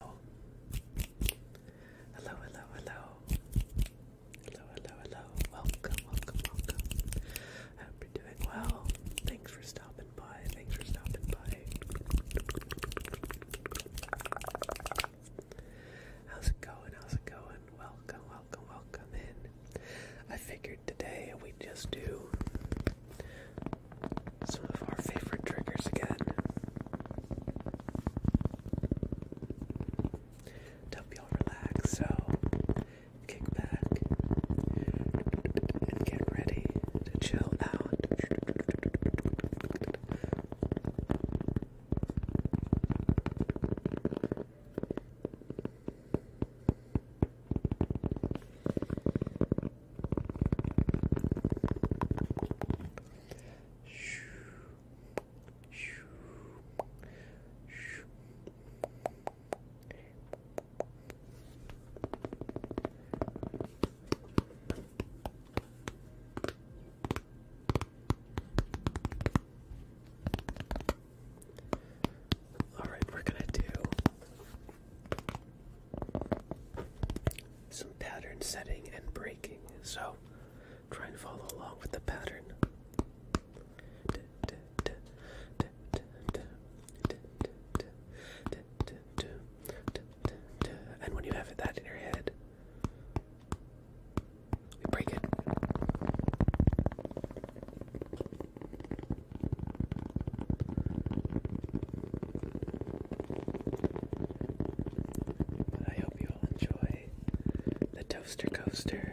Hello, hello, hello. Hello, hello, hello. Welcome, welcome, welcome. I hope you're doing well. Thanks for stopping by. Thanks for stopping by. How's it going? How's it going? Welcome, welcome, welcome in. I figured today we just do some of our favorite triggers again. help y'all relax, so kick back and get ready to chill out. All right, we're going to do some pattern setting and breaking. So try and follow along with the pattern. And when you have that in your head, we break it. But I hope you all enjoy the Toaster Coaster.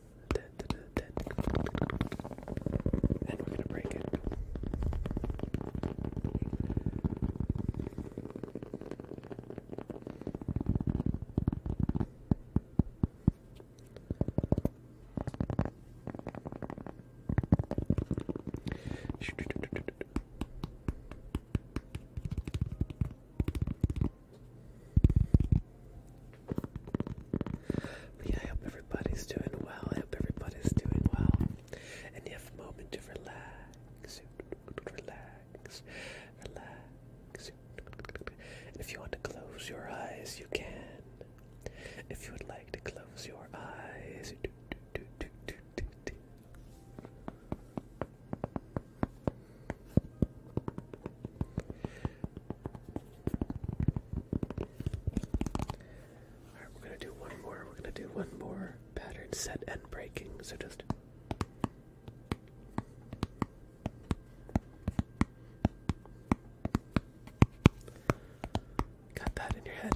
And we're gonna break it. But yeah, I hope everybody's doing well. I hope everybody's doing well. And you have a moment to relax. Relax. Relax. And if you want to close your eyes, you can. If you would like to close your eyes, do, do, do, do, do, do. Alright, we're gonna do one more. We're gonna do one more pattern set and breaking. So just. Got that in your head.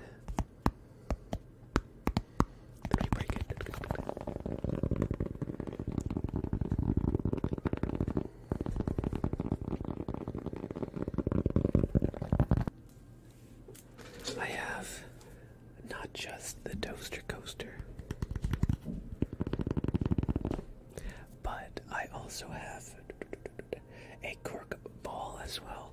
That'd be pretty I have not just the toaster coaster, but I also have a cork ball as well.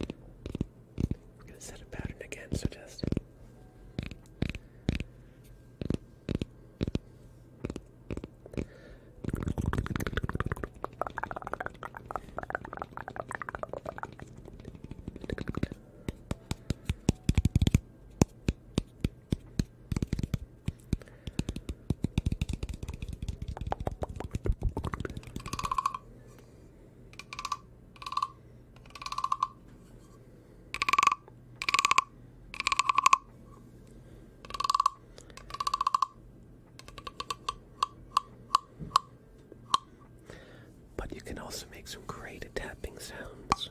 We're going to set a pattern again, so just. But you can also make some great tapping sounds.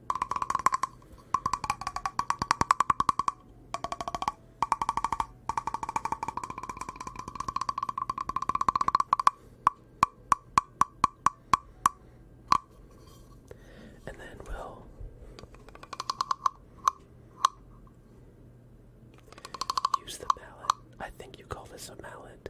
And then we'll use the mallet. I think you call this a mallet.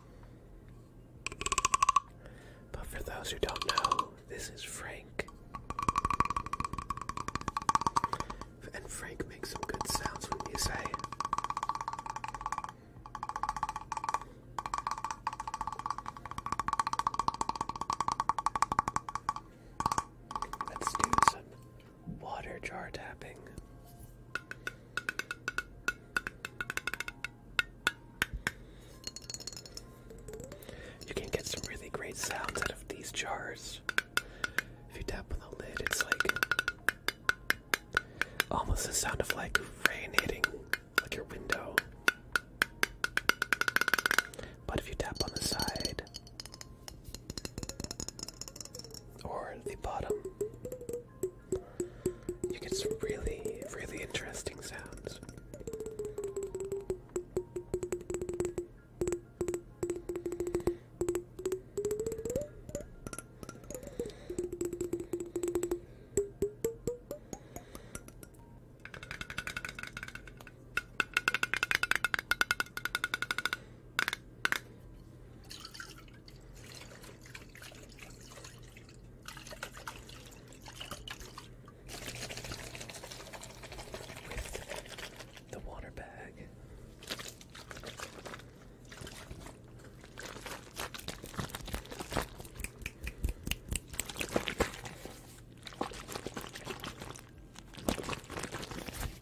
But for those who don't know, this is Frank. And Frank makes some good sounds when you say. Let's do some water jar tapping. You can get some really great sounds out of these jars. If you tap on the lid, it's like almost the sound of like rain hitting like your window. But if you tap on the side or the bottom, you get some really, really interesting sounds with the water bag.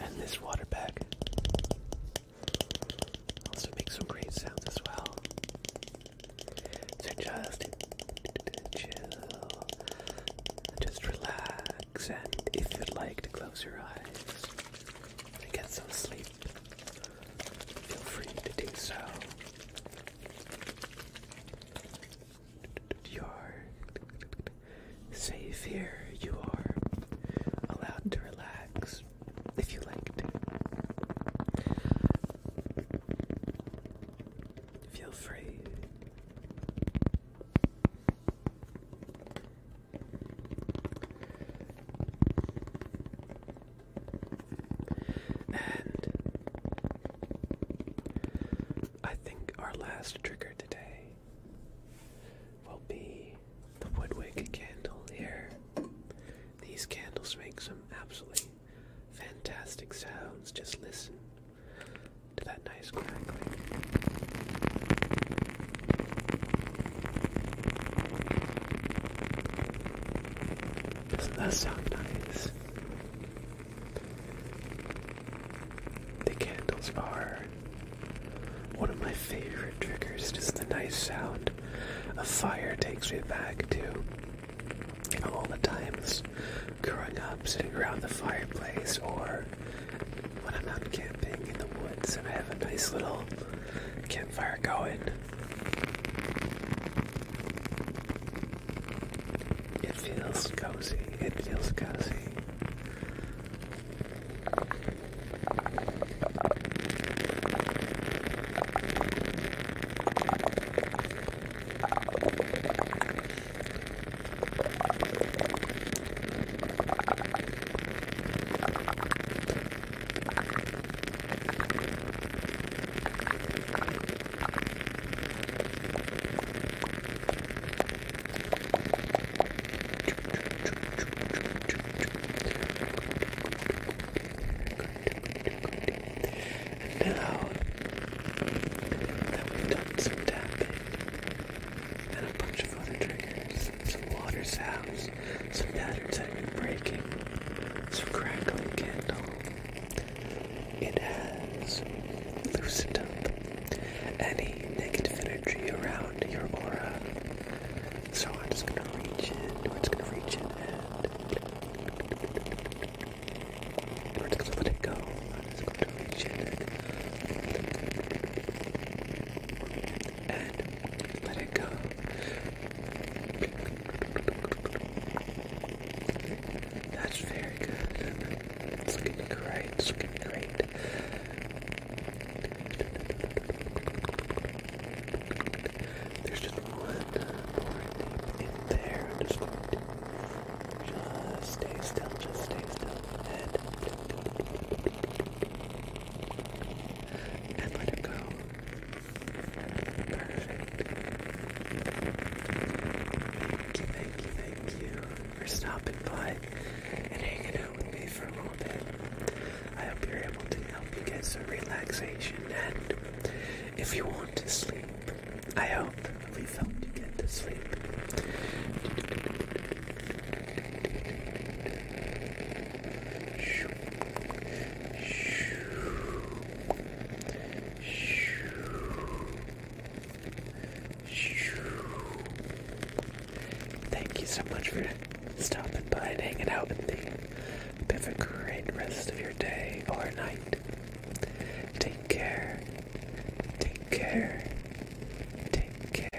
And this water bag also makes some great sounds as well. So just chill, just relax, and if you'd like to close your eyes and get some sleep, feel free to do so. You are safe here. You are allowed to relax if you like to. Feel free. And I think our last trigger today will be the Woodwick candle here. These candles make some absolutely fantastic sounds. Just listen to that nice crackling. Doesn't that sound nice? The candles are one of my favorite triggers, just the nice sound of fire takes me back to all the times growing up, sitting around the fireplace, or when I'm out camping in the woods and I have a nice little campfire going. It feels cozy. It feels cozy. And now that we've done some tapping and a bunch of other triggers, some water sounds, some patterns that have been breaking, some crackling candles. It has loosened up any negative energy around your aura. So I'm just gonna reach in, we're just gonna reach in and we just gonna let it go. I'm just going to reach in and let it go. That's very good. It's looking great. It's looking great. There's just one more in there. just going just stay still. Just stay still. And, and go. Perfect. Thank you, thank you, for stopping by and hanging out with me for a little bit. I hope you're able to help you get some relaxation and if you want to sleep, I hope we've helped you get to sleep. Thank you so much for stopping by and hanging out with me. Have a great rest of your day or night. Take care. Take care. Take care.